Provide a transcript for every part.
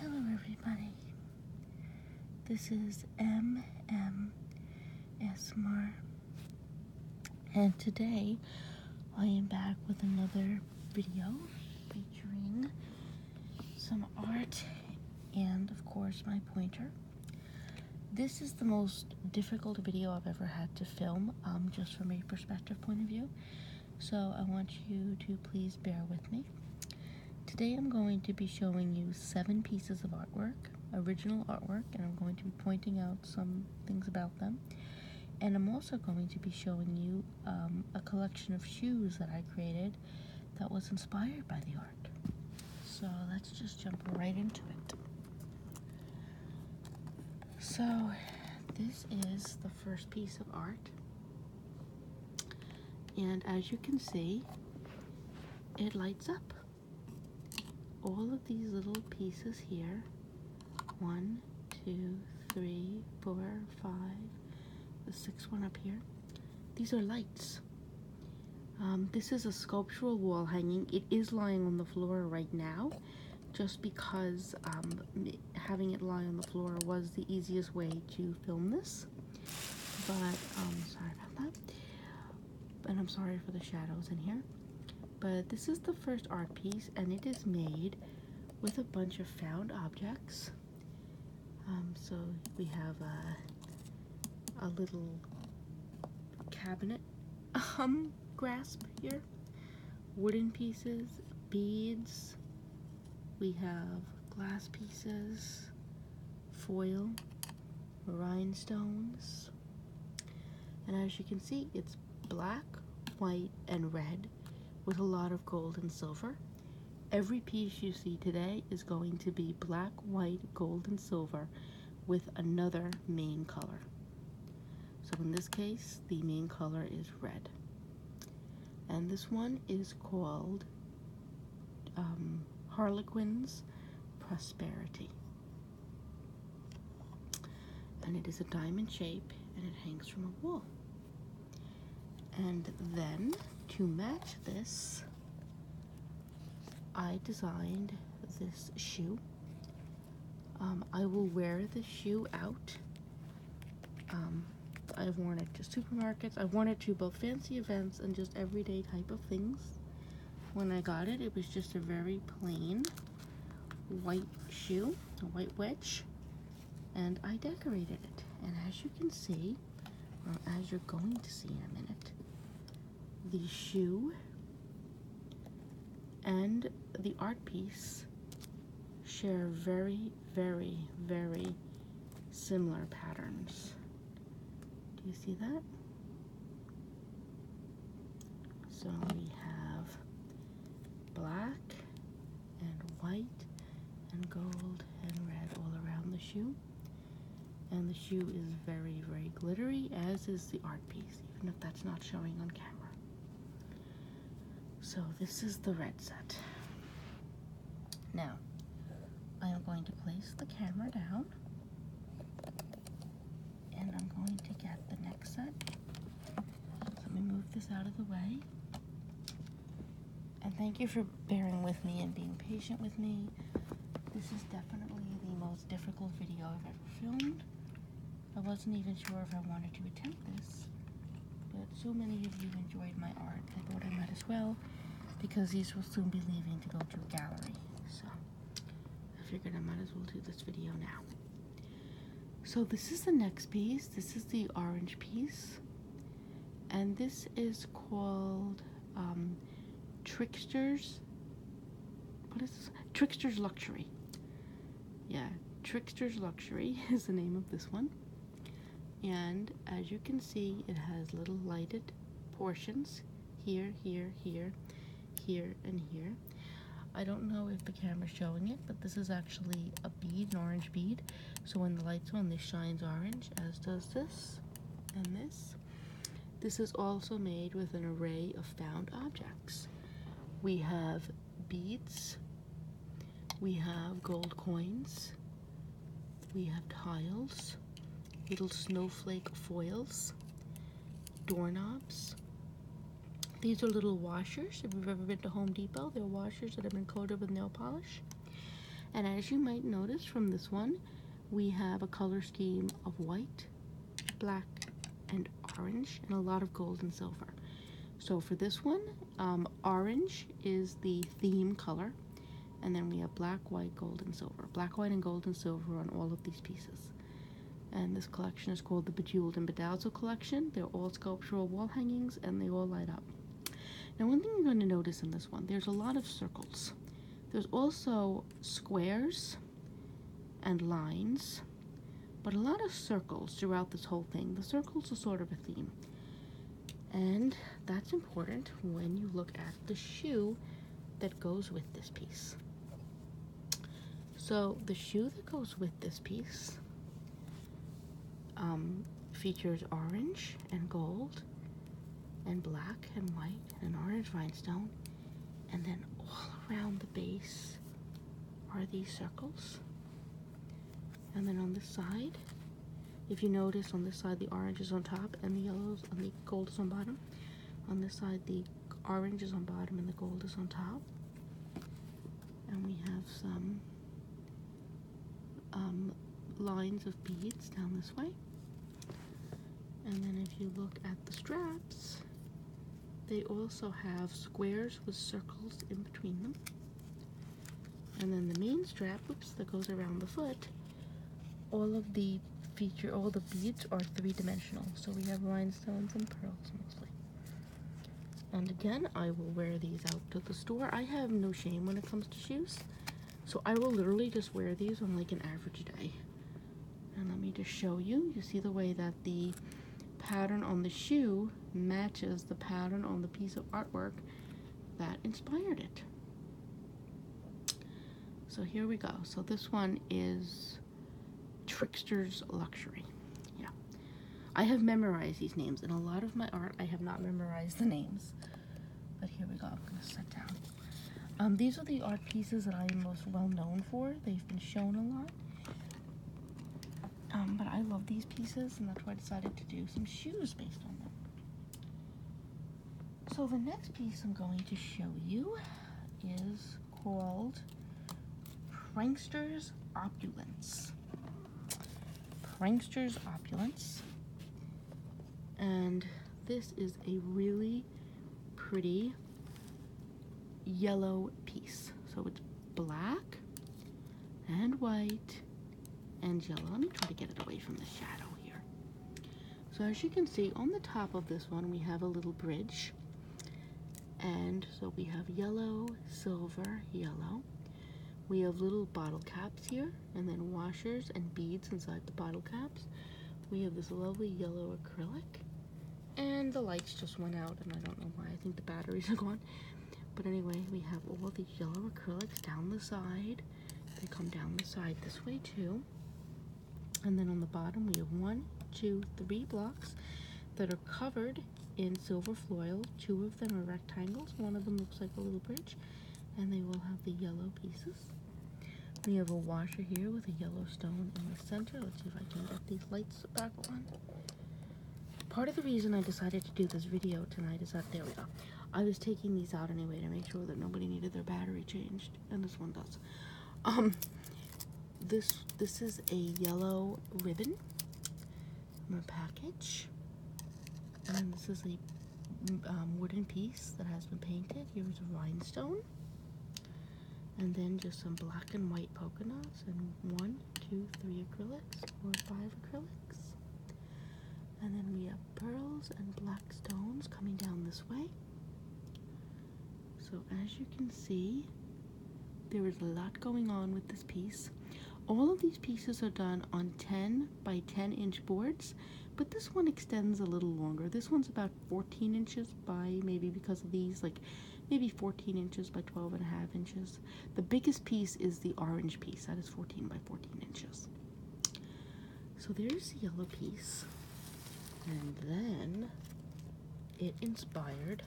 Hello, everybody. This is MM and today I am back with another video featuring some art and, of course, my pointer. This is the most difficult video I've ever had to film, um, just from a perspective point of view. So I want you to please bear with me. Today I'm going to be showing you seven pieces of artwork, original artwork, and I'm going to be pointing out some things about them. And I'm also going to be showing you um, a collection of shoes that I created that was inspired by the art. So let's just jump right into it. So this is the first piece of art. And as you can see, it lights up. All of these little pieces here, one, two, three, four, five, the sixth one up here, these are lights. Um, this is a sculptural wall hanging. It is lying on the floor right now just because um, having it lie on the floor was the easiest way to film this. But, um, sorry about that. And I'm sorry for the shadows in here. But this is the first art piece, and it is made with a bunch of found objects. Um, so we have a, a little cabinet um, grasp here wooden pieces, beads, we have glass pieces, foil, rhinestones, and as you can see, it's black, white, and red with a lot of gold and silver. Every piece you see today is going to be black, white, gold, and silver with another main color. So in this case, the main color is red. And this one is called um, Harlequin's Prosperity. And it is a diamond shape and it hangs from a wall. And then to match this, I designed this shoe um, I will wear the shoe out. Um, I've worn it to supermarkets. I've worn it to both fancy events and just everyday type of things. When I got it, it was just a very plain white shoe, a white wedge, and I decorated it. And as you can see, or as you're going to see in a minute, the shoe and the art piece share very, very, very similar patterns. Do you see that? So we have black and white and gold and red all around the shoe. And the shoe is very, very glittery, as is the art piece, even if that's not showing on camera. So this is the red set. Now, I am going to place the camera down and I'm going to get the next set. Let me move this out of the way. And thank you for bearing with me and being patient with me. This is definitely the most difficult video I've ever filmed. I wasn't even sure if I wanted to attempt this, but so many of you enjoyed my art, I thought I might as well, because these will soon be leaving to go to a gallery, so I figured I might as well do this video now. So this is the next piece, this is the orange piece, and this is called um, Tricksters, what is this? Tricksters Luxury yeah, Trickster's Luxury is the name of this one. And as you can see, it has little lighted portions here, here, here, here, and here. I don't know if the camera's showing it, but this is actually a bead, an orange bead. So when the light's on, this shines orange, as does this and this. This is also made with an array of found objects. We have beads, we have gold coins. We have tiles, little snowflake foils, doorknobs. These are little washers. If you've ever been to Home Depot, they're washers that have been coated with nail polish. And as you might notice from this one, we have a color scheme of white, black, and orange, and a lot of gold and silver. So for this one, um, orange is the theme color, and then we have black, white, gold, and silver. Black, white, and gold and silver on all of these pieces. And this collection is called the Bejeweled and Bedazzled Collection. They're all sculptural wall hangings, and they all light up. Now one thing you're going to notice in this one, there's a lot of circles. There's also squares and lines but a lot of circles throughout this whole thing. The circles are sort of a theme. And that's important when you look at the shoe that goes with this piece. So the shoe that goes with this piece um, features orange and gold and black and white and orange rhinestone. And then all around the base are these circles and then on this side, if you notice on this side the orange is on top and the yellows and the gold is on bottom. On this side the orange is on bottom and the gold is on top. And we have some um, lines of beads down this way. And then if you look at the straps, they also have squares with circles in between them and then the main strap oops that goes around the foot all of the feature all the beads are three-dimensional so we have rhinestones and pearls mostly and again I will wear these out to the store I have no shame when it comes to shoes so I will literally just wear these on like an average day and let me just show you you see the way that the pattern on the shoe matches the pattern on the piece of artwork that inspired it. So here we go. So this one is Trickster's Luxury. Yeah. I have memorized these names. In a lot of my art, I have not memorized the names. But here we go. I'm going to set down. Um, these are the art pieces that I am most well known for. They've been shown a lot. Um, but I love these pieces, and that's why I decided to do some shoes based on them. So the next piece I'm going to show you is called Prankster's Opulence. Prankster's Opulence. And this is a really pretty yellow piece. So it's black and white and yellow. Let me try to get it away from the shadow here. So as you can see on the top of this one we have a little bridge and so we have yellow, silver, yellow. We have little bottle caps here and then washers and beads inside the bottle caps. We have this lovely yellow acrylic and the lights just went out and I don't know why. I think the batteries are gone. But anyway, we have all the yellow acrylics down the side. They come down the side this way too. And then on the bottom, we have one, two, three blocks that are covered in silver foil. Two of them are rectangles. One of them looks like a little bridge. And they will have the yellow pieces. We have a washer here with a yellow stone in the center. Let's see if I can get these lights back on. Part of the reason I decided to do this video tonight is that, there we go, I was taking these out anyway to make sure that nobody needed their battery changed, and this one does. Um, this, this is a yellow ribbon from a package, and this is a um, wooden piece that has been painted. Here's a rhinestone. And then just some black and white polka dots and one, Two, three acrylics, four, five acrylics. And then we have pearls and black stones coming down this way. So, as you can see, there is a lot going on with this piece. All of these pieces are done on 10 by 10 inch boards, but this one extends a little longer. This one's about 14 inches by maybe because of these, like maybe 14 inches by 12 and a half inches. The biggest piece is the orange piece, that is 14 by 14 inches. So there's the yellow piece, and then it inspired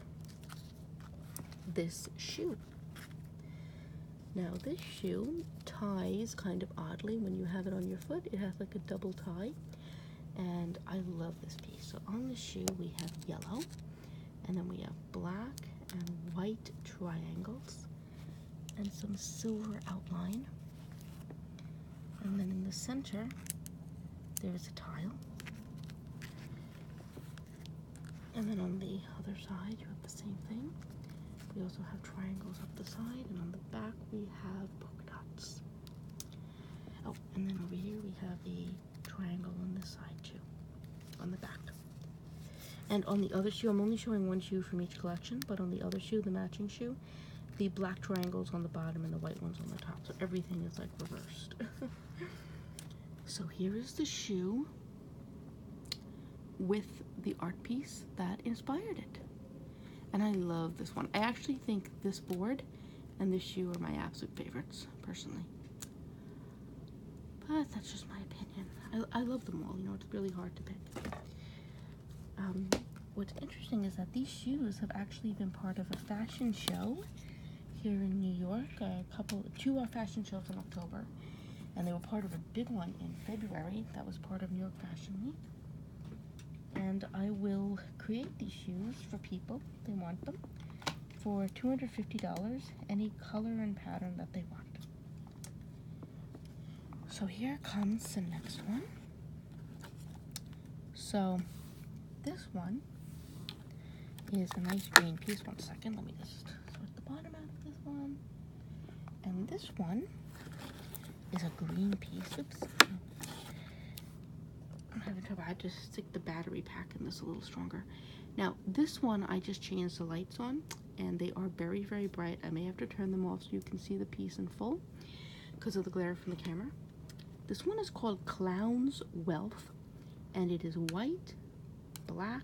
this shoe. Now, this shoe ties kind of oddly when you have it on your foot, it has like a double tie, and I love this piece. So, on the shoe, we have yellow and then we have black and white triangles and some silver outline and then in the center there is a tile and then on the other side you have the same thing we also have triangles up the side and on the back we have polka dots oh and then over here we have the triangle on this side too, on the back. And on the other shoe, I'm only showing one shoe from each collection, but on the other shoe, the matching shoe, the black triangles on the bottom and the white ones on the top. So everything is like reversed. so here is the shoe with the art piece that inspired it. And I love this one. I actually think this board and this shoe are my absolute favorites, personally. But that's just my opinion. I, love them all. You know, it's really hard to pick. Um, what's interesting is that these shoes have actually been part of a fashion show here in New York. A couple, two uh, fashion shows in October, and they were part of a big one in February. That was part of New York Fashion Week. And I will create these shoes for people they want them for $250 any color and pattern that they want. So here comes the next one. So this one is a nice green piece. One second, let me just sort the bottom out of this one. And this one is a green piece. Oops. i have having trouble. I had to stick the battery pack in this a little stronger. Now, this one I just changed the lights on and they are very, very bright. I may have to turn them off so you can see the piece in full because of the glare from the camera. This one is called Clown's Wealth and it is white, black,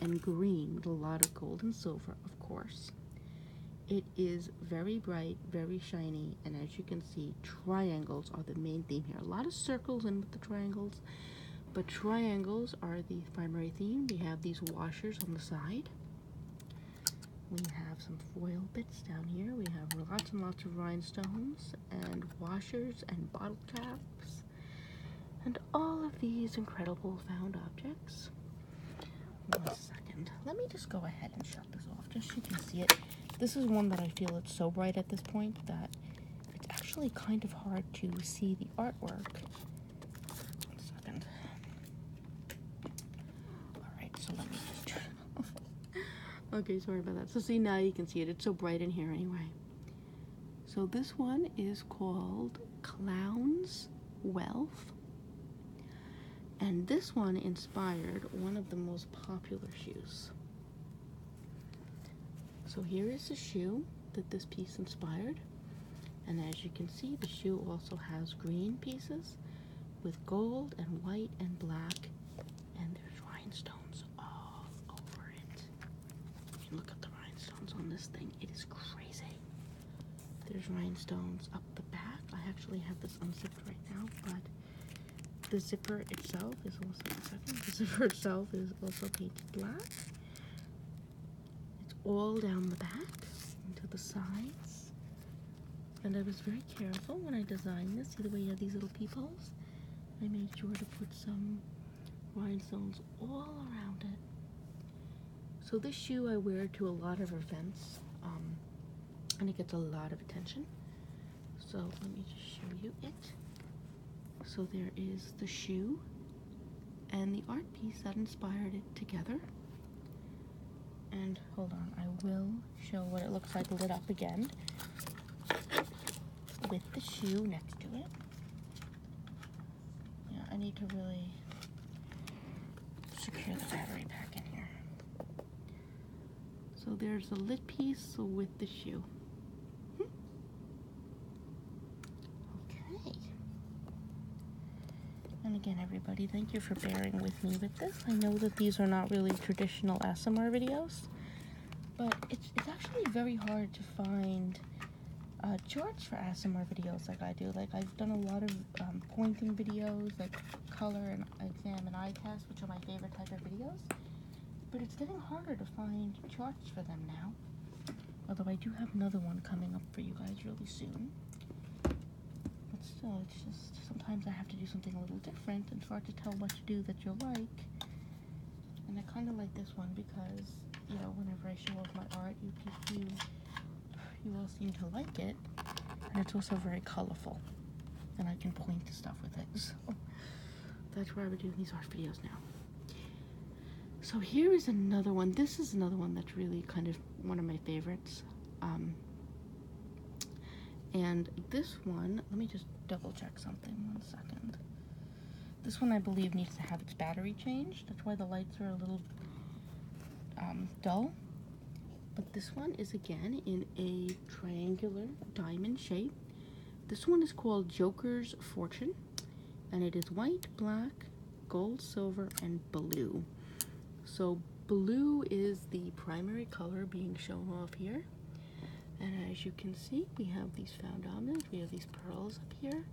and green with a lot of gold and silver, of course. It is very bright, very shiny, and as you can see, triangles are the main theme here. A lot of circles in with the triangles, but triangles are the primary theme. We have these washers on the side. We have some foil bits down here. We have lots and lots of rhinestones and washers and bottle caps and all of these incredible found objects. One second. Let me just go ahead and shut this off just so you can see it. This is one that I feel it's so bright at this point that it's actually kind of hard to see the artwork. One second. Alright, so let me okay, sorry about that. So, see, now you can see it. It's so bright in here, anyway. So, this one is called Clown's Wealth. And this one inspired one of the most popular shoes. So here is the shoe that this piece inspired. And as you can see, the shoe also has green pieces with gold and white and black. And there's rhinestones all over it. You look at the rhinestones on this thing. It is crazy. There's rhinestones up the back. I actually have this unzipped right now, but the zipper itself is also, second, the zipper itself is also painted black. It's all down the back and to the sides. And I was very careful when I designed this. See the way you have these little peepholes? I made sure to put some rhinestones all around it. So this shoe I wear to a lot of events, um, and it gets a lot of attention. So let me just show you it. So there is the shoe and the art piece that inspired it together. And hold on, I will show what it looks like lit up again with the shoe next to it. Yeah, I need to really secure the battery back in here. So there's the lit piece with the shoe. Hmm. Okay. And again, everybody, thank you for bearing with me with this. I know that these are not really traditional ASMR videos, but it's, it's actually very hard to find uh, charts for ASMR videos like I do. Like, I've done a lot of um, pointing videos, like color and exam and eye test, which are my favorite type of videos, but it's getting harder to find charts for them now. Although I do have another one coming up for you guys really soon. But still, it's just sometimes I have to do something a little different. It's hard to tell what to do that you like. And I kind of like this one because, you know, whenever I show off my art, you, you, you all seem to like it. And it's also very colorful. And I can point to stuff with it. So that's why I are doing these art videos now. So here is another one. This is another one that's really kind of one of my favorites. Um, and this one, let me just double check something one second. This one I believe needs to have its battery changed. That's why the lights are a little um, dull. But this one is again in a triangular diamond shape. This one is called Joker's Fortune and it is white, black, gold, silver, and blue. So blue is the primary color being shown off here. And as you can see, we have these found foundanas, we have these pearls up here,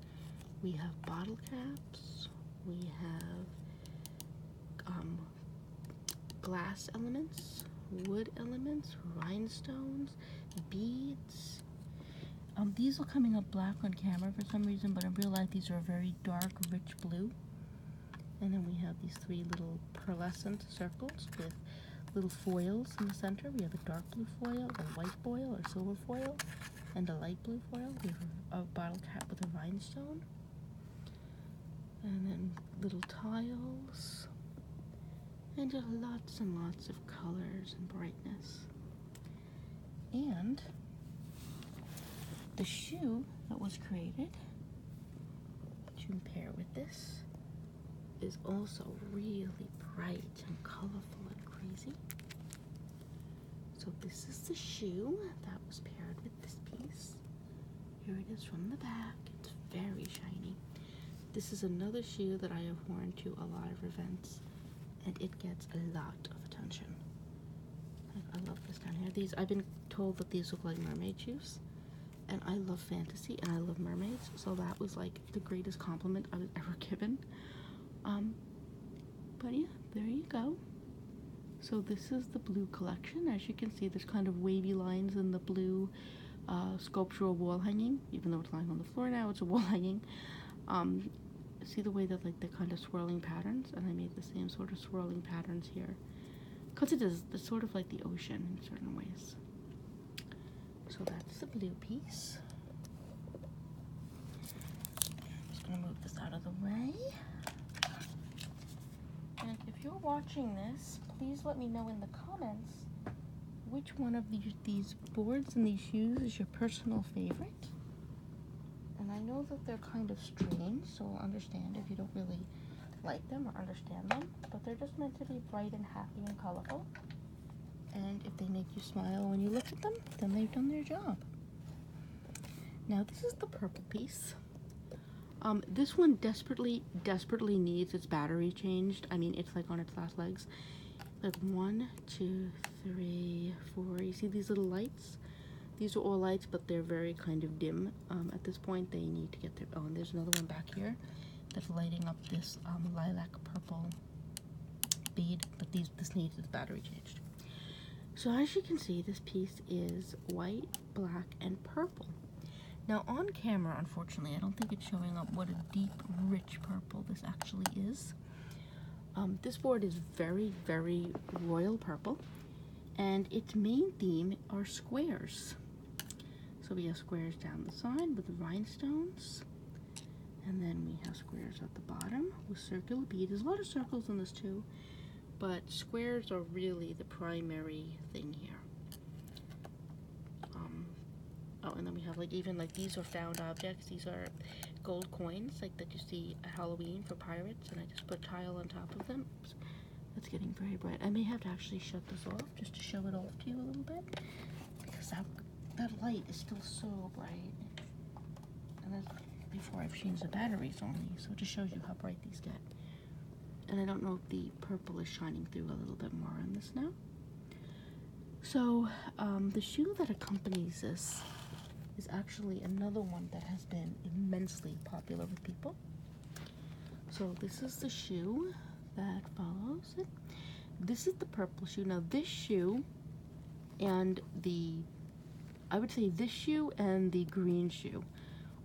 we have bottle caps, we have um, glass elements, wood elements, rhinestones, beads, um, these are coming up black on camera for some reason, but in real life these are a very dark, rich blue. And then we have these three little pearlescent circles with little foils in the center. We have a dark blue foil, a white foil or silver foil, and a light blue foil. We have a, bottle cap with a rhinestone. And then little tiles. And lots and lots of colors and brightness. And the shoe that was created to pair with this is also really bright and colorful and crazy. So this is the shoe that was paired with this piece. Here it is from the back. It's very shiny. This is another shoe that I have worn to a lot of events and it gets a lot of attention. I, love this down here. These I've been told that these look like mermaid shoes, and I love fantasy and I love mermaids, so that was like the greatest compliment I was ever given. Um, but yeah, there you go. So this is the blue collection. As you can see, there's kind of wavy lines in the blue uh, sculptural wall hanging, even though it's lying on the floor now. It's a wool hanging. Um, see the way that like the kind of swirling patterns, and I made the same sort of swirling patterns here, cause it is it's sort of like the ocean in certain ways. So that's the blue piece. just gonna move this out of the way. And if you're watching this, please let me know in the comments which one of these, these boards in these shoes is your personal favorite. And I know that they're kind of strange, so I'll understand if you don't really like them or understand them, but they're just meant to be bright and happy and colorful. And if they make you smile when you look at them, then they've done their job. Now this is the purple piece. Um, this one desperately, desperately needs its battery changed. I mean, it's like on its last legs. Like one, two, three, four. You see these little lights? These are all lights, but they're very kind of dim. Um, at this point, they need to get their own. Oh, there's another one back here that's lighting up this um, lilac purple bead, but these this needs the battery changed. So as you can see, this piece is white, black, and purple. Now on camera, unfortunately, I don't think it's showing up what a deep, rich purple this actually is. Um, this board is very, very royal purple, and its main theme are squares. So we have squares down the side with rhinestones, and then we have squares at the bottom with circular beads. There's a lot of circles in this too, but squares are really the primary thing here. Um, oh, and then we have like even like these are found objects. These are gold coins, like that you see at Halloween for pirates, and I just put tile on top of them. That's getting very bright. I may have to actually shut this off just to show it off to you a little bit, because that, that light is still so bright. And that's before I've changed the batteries on these, so it just shows you how bright these get. And I don't know if the purple is shining through a little bit more on this now. So, um, the shoe that accompanies this is actually another one that has been immensely popular with people. So, this is the shoe that follows it. This is the purple shoe. Now, this shoe and the, I would say this shoe and the green shoe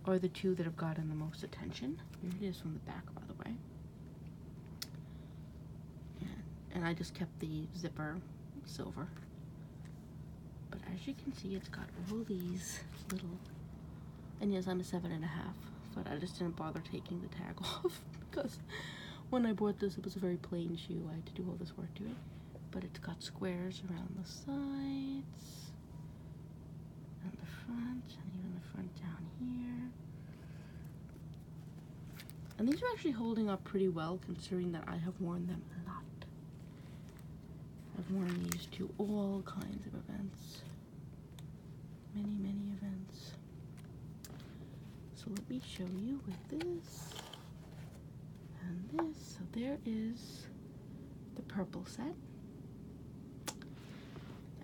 are the two that have gotten the most attention. Here it is from the back, by the way and I just kept the zipper silver but as you can see it's got all these little and yes I'm a seven and a half but I just didn't bother taking the tag off because when I bought this it was a very plain shoe I had to do all this work to it but it's got squares around the sides and the front and even the front down here and these are actually holding up pretty well considering that I have worn them a lot. I've worn these to all kinds of events. Many, many events. So let me show you with this and this. So there is the purple set.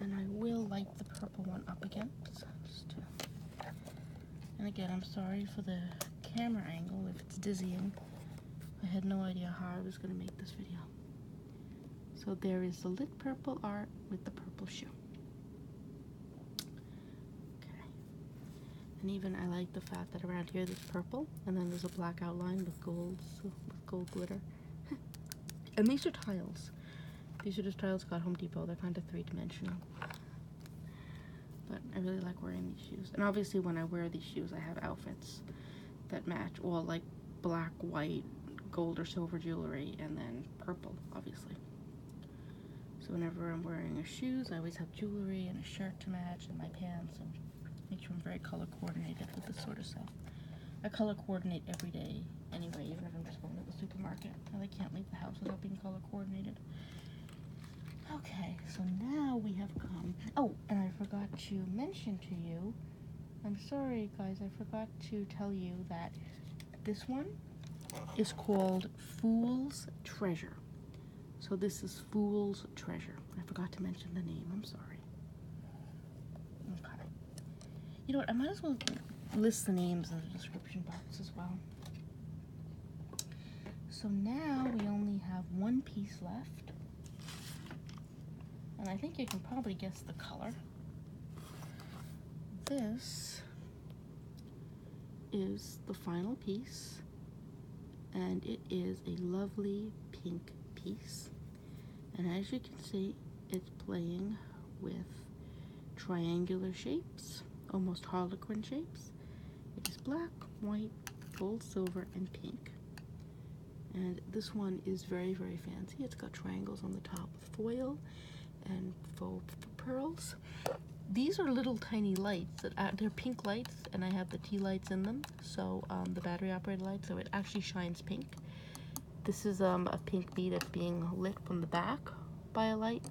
And I will light the purple one up again. just to and again, I'm sorry for the camera angle if it's dizzying. I had no idea how I was going to make this video. So there is the lit purple art with the purple shoe. Okay. And even I like the fact that around here there's purple and then there's a black outline with gold, with gold glitter. and these are tiles. These are just tiles got Home Depot. They're kind of three-dimensional. But I really like wearing these shoes. And obviously when I wear these shoes, I have outfits that match. Well, like black, white, gold or silver jewelry, and then purple, obviously. So whenever I'm wearing shoes, I always have jewelry and a shirt to match and my pants and make sure I'm very color coordinated with this sort of stuff. I color coordinate every day anyway, even if I'm just going to the supermarket. I can't leave the house without being color coordinated. Okay, so now we have come. Oh, and I forgot to mention to you. I'm sorry, guys, I forgot to tell you that this one is called Fool's Treasure. So this is Fool's Treasure. I forgot to mention the name. I'm sorry. Okay. You know what? I might as well list the names in the description box as well. So now we only have one piece left. And I think you can probably guess the color. This is the final piece and it is a lovely pink piece. And as you can see, it's playing with triangular shapes almost harlequin shapes. It is black, white, gold, silver, and pink. And this one is very, very fancy. It's got triangles on the top with foil and faux pearls. These are little tiny lights. That are, pink lights, and I have the tea lights in them. So um, the battery-operated light, so it actually shines pink. This is um, a pink bead that's being lit from the back by a light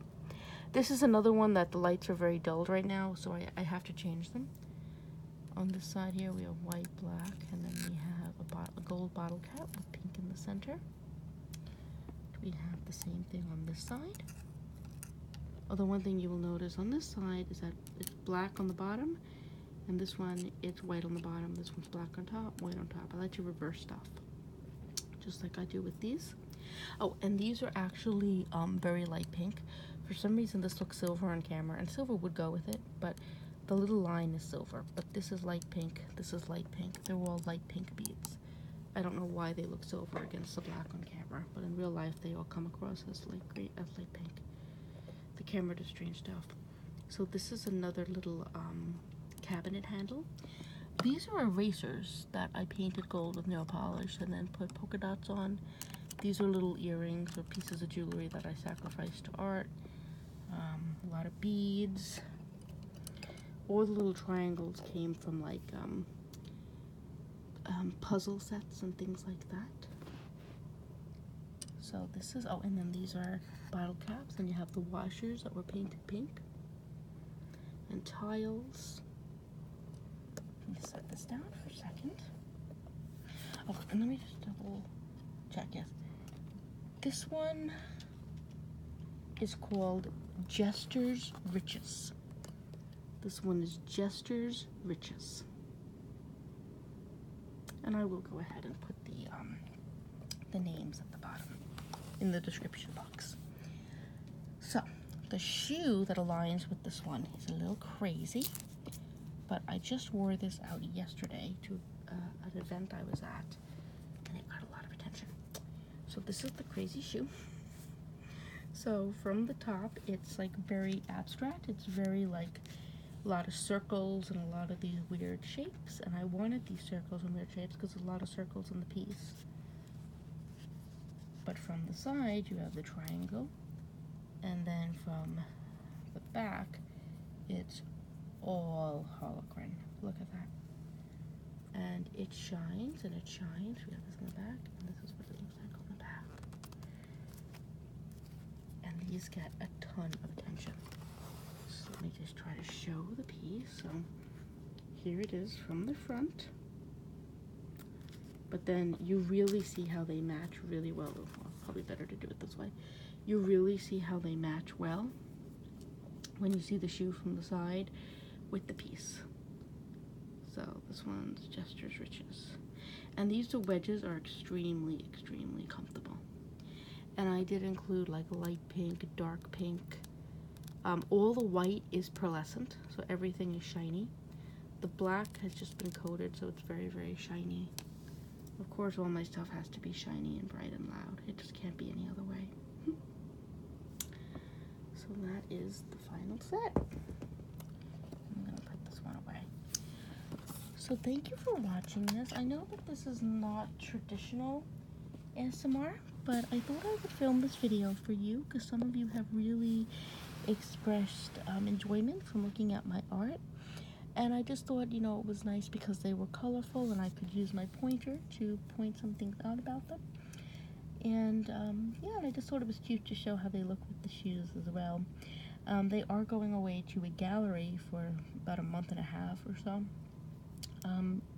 this is another one that the lights are very dulled right now, so I, I have to change them. On this side here, we have white, black, and then we have a, bot a gold bottle cap with pink in the center. We have the same thing on this side. Although oh, one thing you will notice on this side is that it's black on the bottom, and this one, it's white on the bottom. This one's black on top, white on top. I let you reverse stuff just like I do with these. Oh, and these are actually um, very light pink. For some reason, this looks silver on camera, and silver would go with it, but the little line is silver. But this is light pink, this is light pink. They're all light pink beads. I don't know why they look silver against the black on camera, but in real life, they all come across as light, green, as light pink. The camera does strange stuff. So this is another little um, cabinet handle. These are erasers, that I painted gold with nail polish and then put polka dots on. These are little earrings or pieces of jewelry that I sacrificed to art. Um, a lot of beads. All the little triangles came from like um, um, puzzle sets and things like that. So this is, oh, and then these are bottle caps, and you have the washers that were painted pink, and tiles, let me just set this down for a second. Oh, and let me just double check. Yes. This one is called Jester's Riches. This one is Jester's Riches. And I will go ahead and put the um, the names at the bottom in the description box. So the shoe that aligns with this one is a little crazy, but I just wore this out yesterday to uh, an event I was at, and it got a lot of attention. So this is the crazy shoe. So from the top, it's like very abstract. It's very like a lot of circles and a lot of these weird shapes. And I wanted these circles and weird shapes because a lot of circles in the piece. But from the side, you have the triangle, and then from the back, it's all holocron. Look at that. And it shines and it shines. We have this in the back, and this is what it looks like on the back. And these get a ton of attention. So let me just try to show the piece. So here it is from the front. But then you really see how they match really oh, well. probably better to do it this way. You really see how they match well when you see the shoe from the side with the piece. So this one's Jester's Riches. And these two wedges are extremely, extremely comfortable. And I did include like light pink, dark pink, um, all the white is pearlescent, so everything is shiny. The black has just been coated, so it's very, very shiny. Of course, all my stuff has to be shiny and bright and loud. It just can't be any other way. so that is the final set. I'm going to put this one away. So thank you for watching this. I know that this is not traditional ASMR, but I thought I would film this video for you because some of you have really expressed um, enjoyment from looking at my art and I just thought you know it was nice because they were colorful and I could use my pointer to point some things out about them and um, yeah and I just thought it was cute to show how they look with the shoes as well um, they are going away to a gallery for about a month and a half or so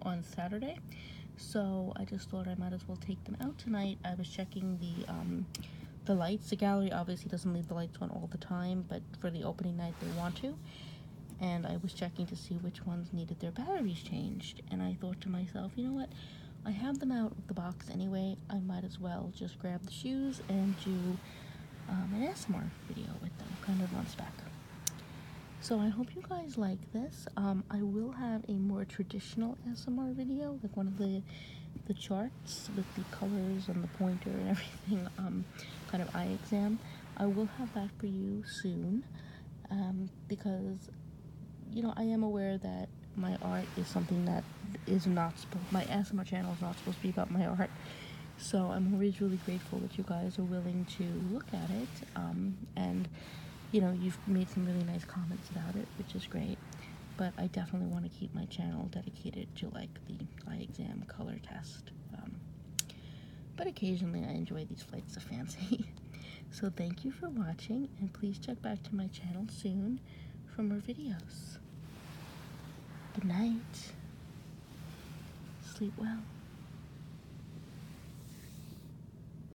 on Saturday. So I just thought I might as well take them out tonight. I was checking the um, the lights. The gallery obviously doesn't leave the lights on all the time, but for the opening night they want to. And I was checking to see which ones needed their batteries changed. And I thought to myself, you know what? I have them out of the box anyway. I might as well just grab the shoes and do um, an ASMR video with them, kind of months back. So I hope you guys like this. Um, I will have a more traditional ASMR video, like one of the the charts with the colors and the pointer and everything, um, kind of eye exam. I will have that for you soon, um, because you know I am aware that my art is something that is not supposed. My ASMR channel is not supposed to be about my art. So I'm always really grateful that you guys are willing to look at it and you know, you've made some really nice comments about it, which is great. But I definitely want to keep my channel dedicated to like the eye exam color test. Um, but occasionally I enjoy these flights of fancy. so thank you for watching, and please check back to my channel soon for more videos. Good night. Sleep well.